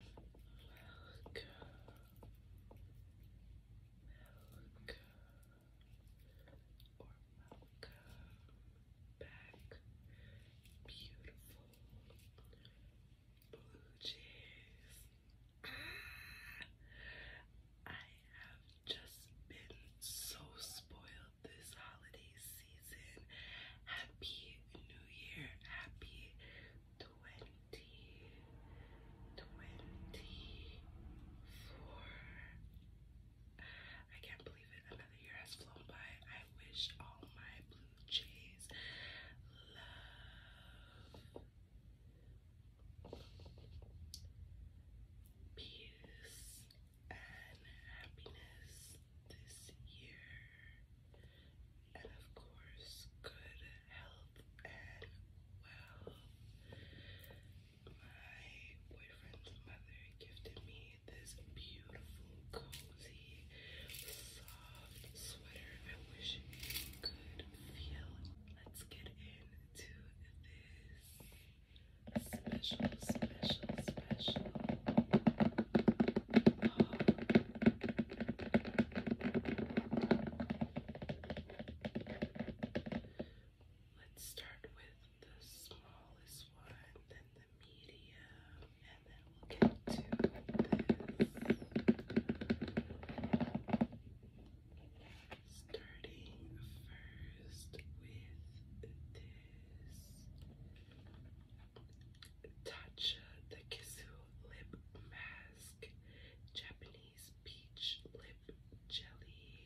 Milk. Milk. Or welcome back, beautiful blue jays. Ah, I have just been so spoiled this holiday season. Happy New Year, happy twenty, twenty-four. I can't believe it. Another year has flown by. I wish all my blue jays love. Peace and happiness this year and of course, good health and wealth. My boyfriend's mother gifted me this beautiful, cozy, soft sweater. I wish you could feel Let's get into this special, special, special Let's start with the smallest one, then the medium, and then we'll get to this. Starting first with this. Tatcha the Kissu Lip Mask, Japanese Peach Lip Jelly.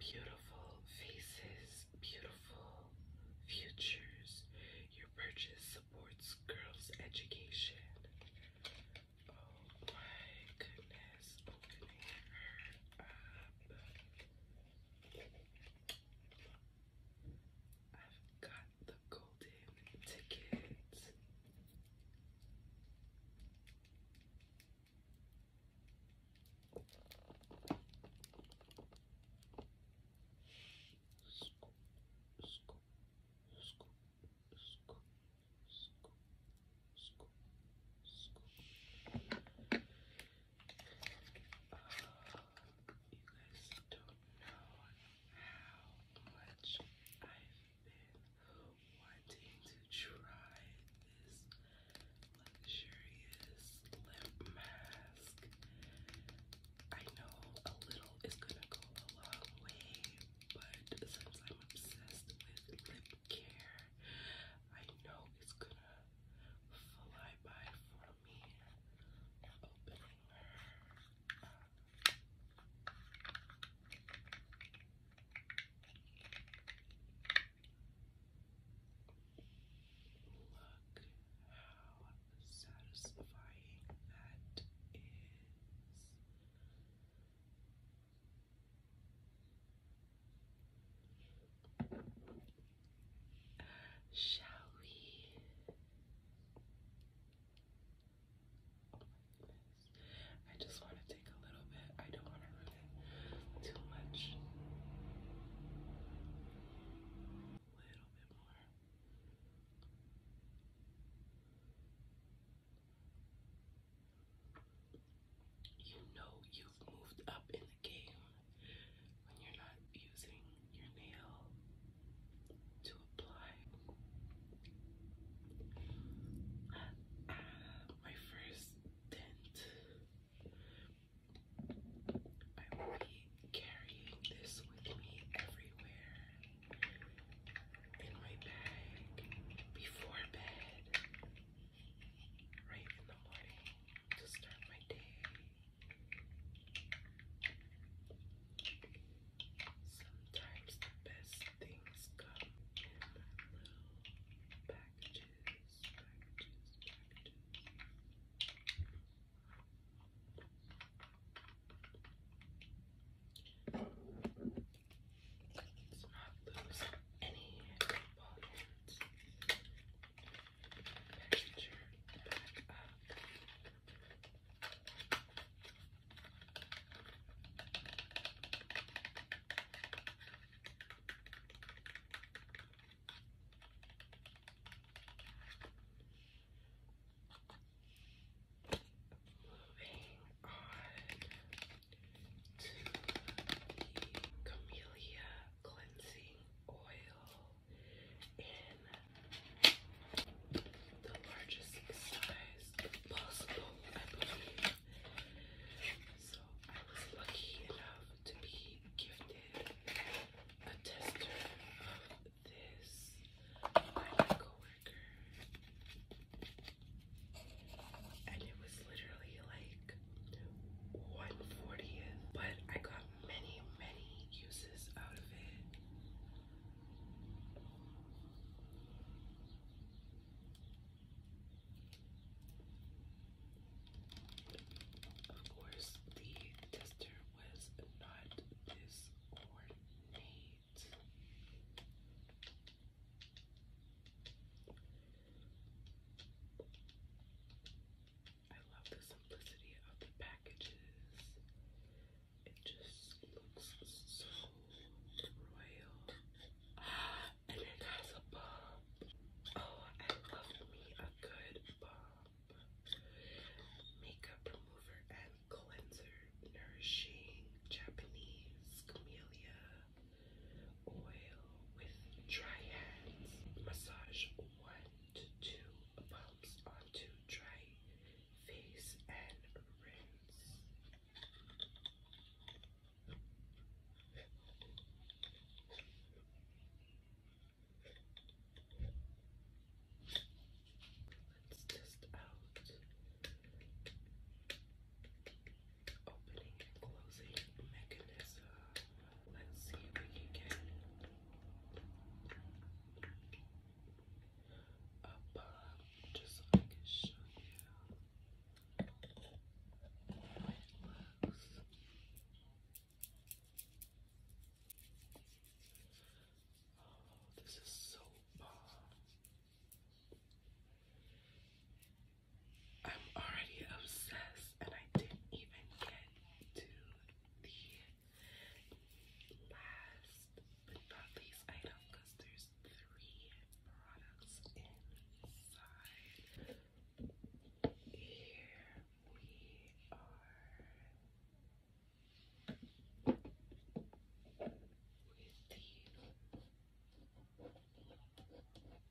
Beautiful faces, beautiful futures. Your purchase supports girls' education. Oh my goodness, I've got the golden ticket guys don't know how much I've been wanting to try this luxurious lip mask. I know a little is gonna go a long way, but since I'm obsessed with lip care, I know it's gonna fly by for me opening her Look how satisfying that is. Shall we? Oh I just want to take a little bit. I don't want to ruin it too much. A little bit more. You know you've moved up in the game when you're not using your nail to apply. Uh, uh, my first dent, I will be carrying this with me everywhere in my bag before bed, right in the morning to start my day. Sometimes the best things come in little packages, packages, not lose any Picture back Moving on to the Camellia Cleansing Oil the largest size possible, I believe. So I was lucky enough to be gifted a tester of this by my coworker. And it was literally like 140th, but I got many, many uses out of it. Of course, the tester was not this ornate. I love the simplicity of the packages. It just looks so royal. And it has a bump. Oh, I love me a good bump. Makeup remover and cleanser. Nourishing Japanese camellia oil with dry hands. Massage one to do pumps onto dry face and rinse. Let's test out opening and closing mechanism let's see if we can get above just so I can show you this is so bomb. I'm already obsessed, and I didn't even get to the last but not least item because there's three products inside. Here we are with the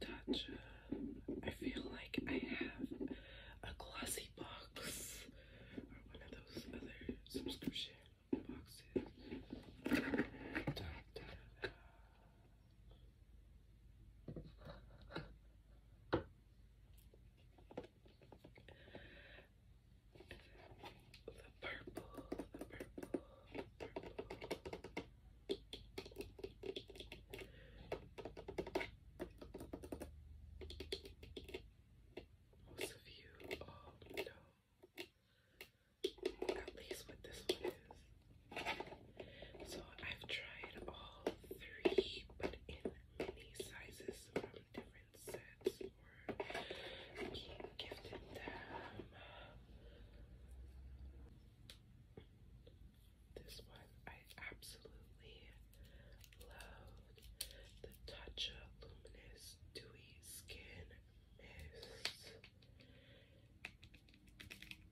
touch. I feel like I have a glossy box or one of those other subscription boxes. The purple, the purple, purple. Most of you all oh, know at least what this one is. So I've tried all three, but in many sizes from different sets or being gifted them. This one I absolutely love The Tatcha Luminous Dewy Skin Mist.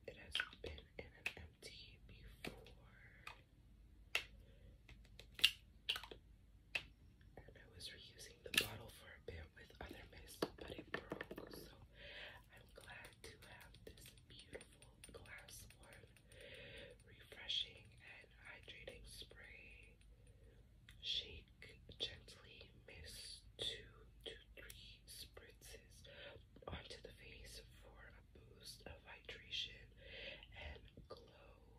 It has been in an empty before. And I was reusing the bottle for a bit with other mist, but it broke. So I'm glad to have this beautiful glass one. Refreshing and hydrating spray. Shake gently, mist two to three spritzes onto the face for a boost of hydration and glow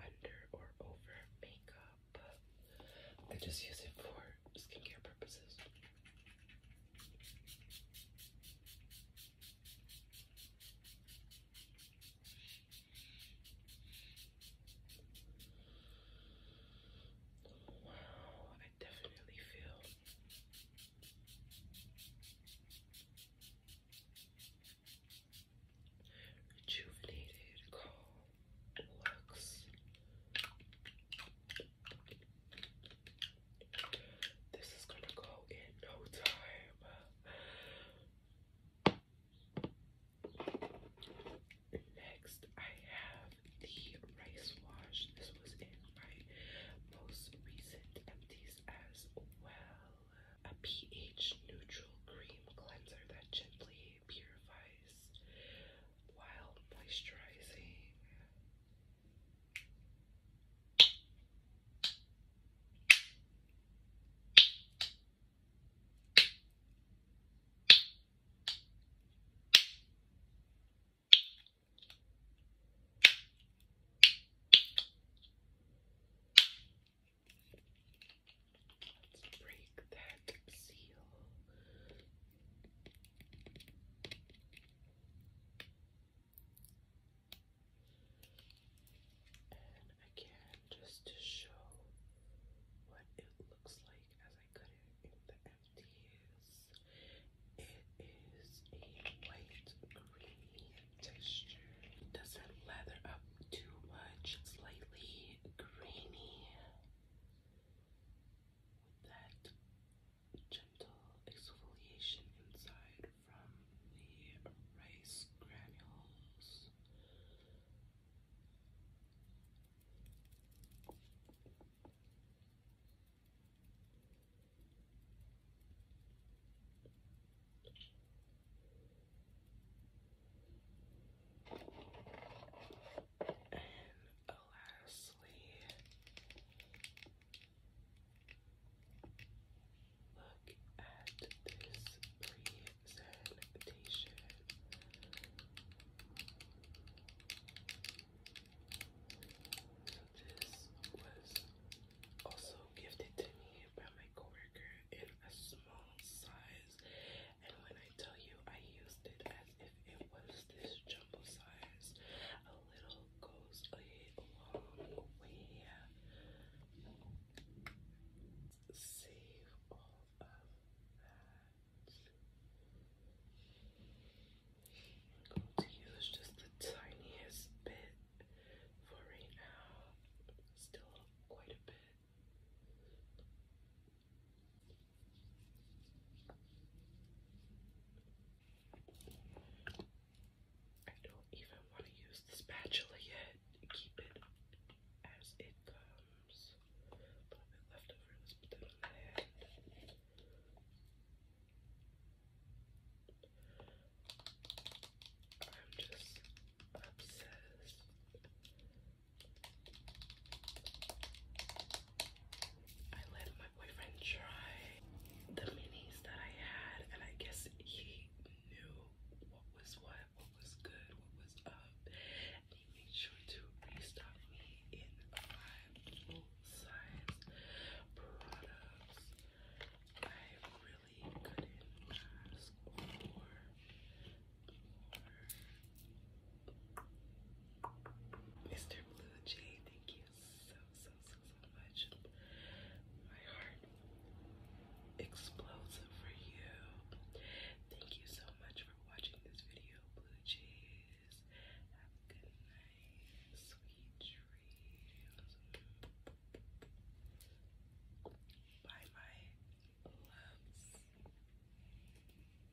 under or over makeup. I just use it for skincare purposes. Wow, I definitely feel rejuvenated, calm, and relaxed. This is gonna go in no time. Next, I have the rice wash. This was in my most recent empties as well. A pH neutral cream cleanser that gently purifies Wild Moisturizing. Let's break that seal and again, just to show what it looks like as I cut it in the empties, it is a white creamy texture. It doesn't leather up too much, Slightly grainy with that gentle exfoliation inside from the rice granules. And lastly, look at this presentation. So this was also gifted to me by my coworker in a small size, and when I tell you, I used it as if it was this jumbo size. A little goes a long way. Save all of that. to use just the tiniest bit for right now. Still quite a bit. I don't even want to use the spatula yet. Keep it as it comes. A little bit left over. I'm just obsessed I let my boyfriend try the minis that I had, and I guess he knew what was what, what was good, what was up. And he made sure to restock me in my full size products. I really couldn't ask for more. Mr. Blue Jay, thank you so, so, so, so much. My heart explodes for you. Thank you so much for watching this video, Blue Jays. Have a good night. Sweet dreams. Bye, my loves.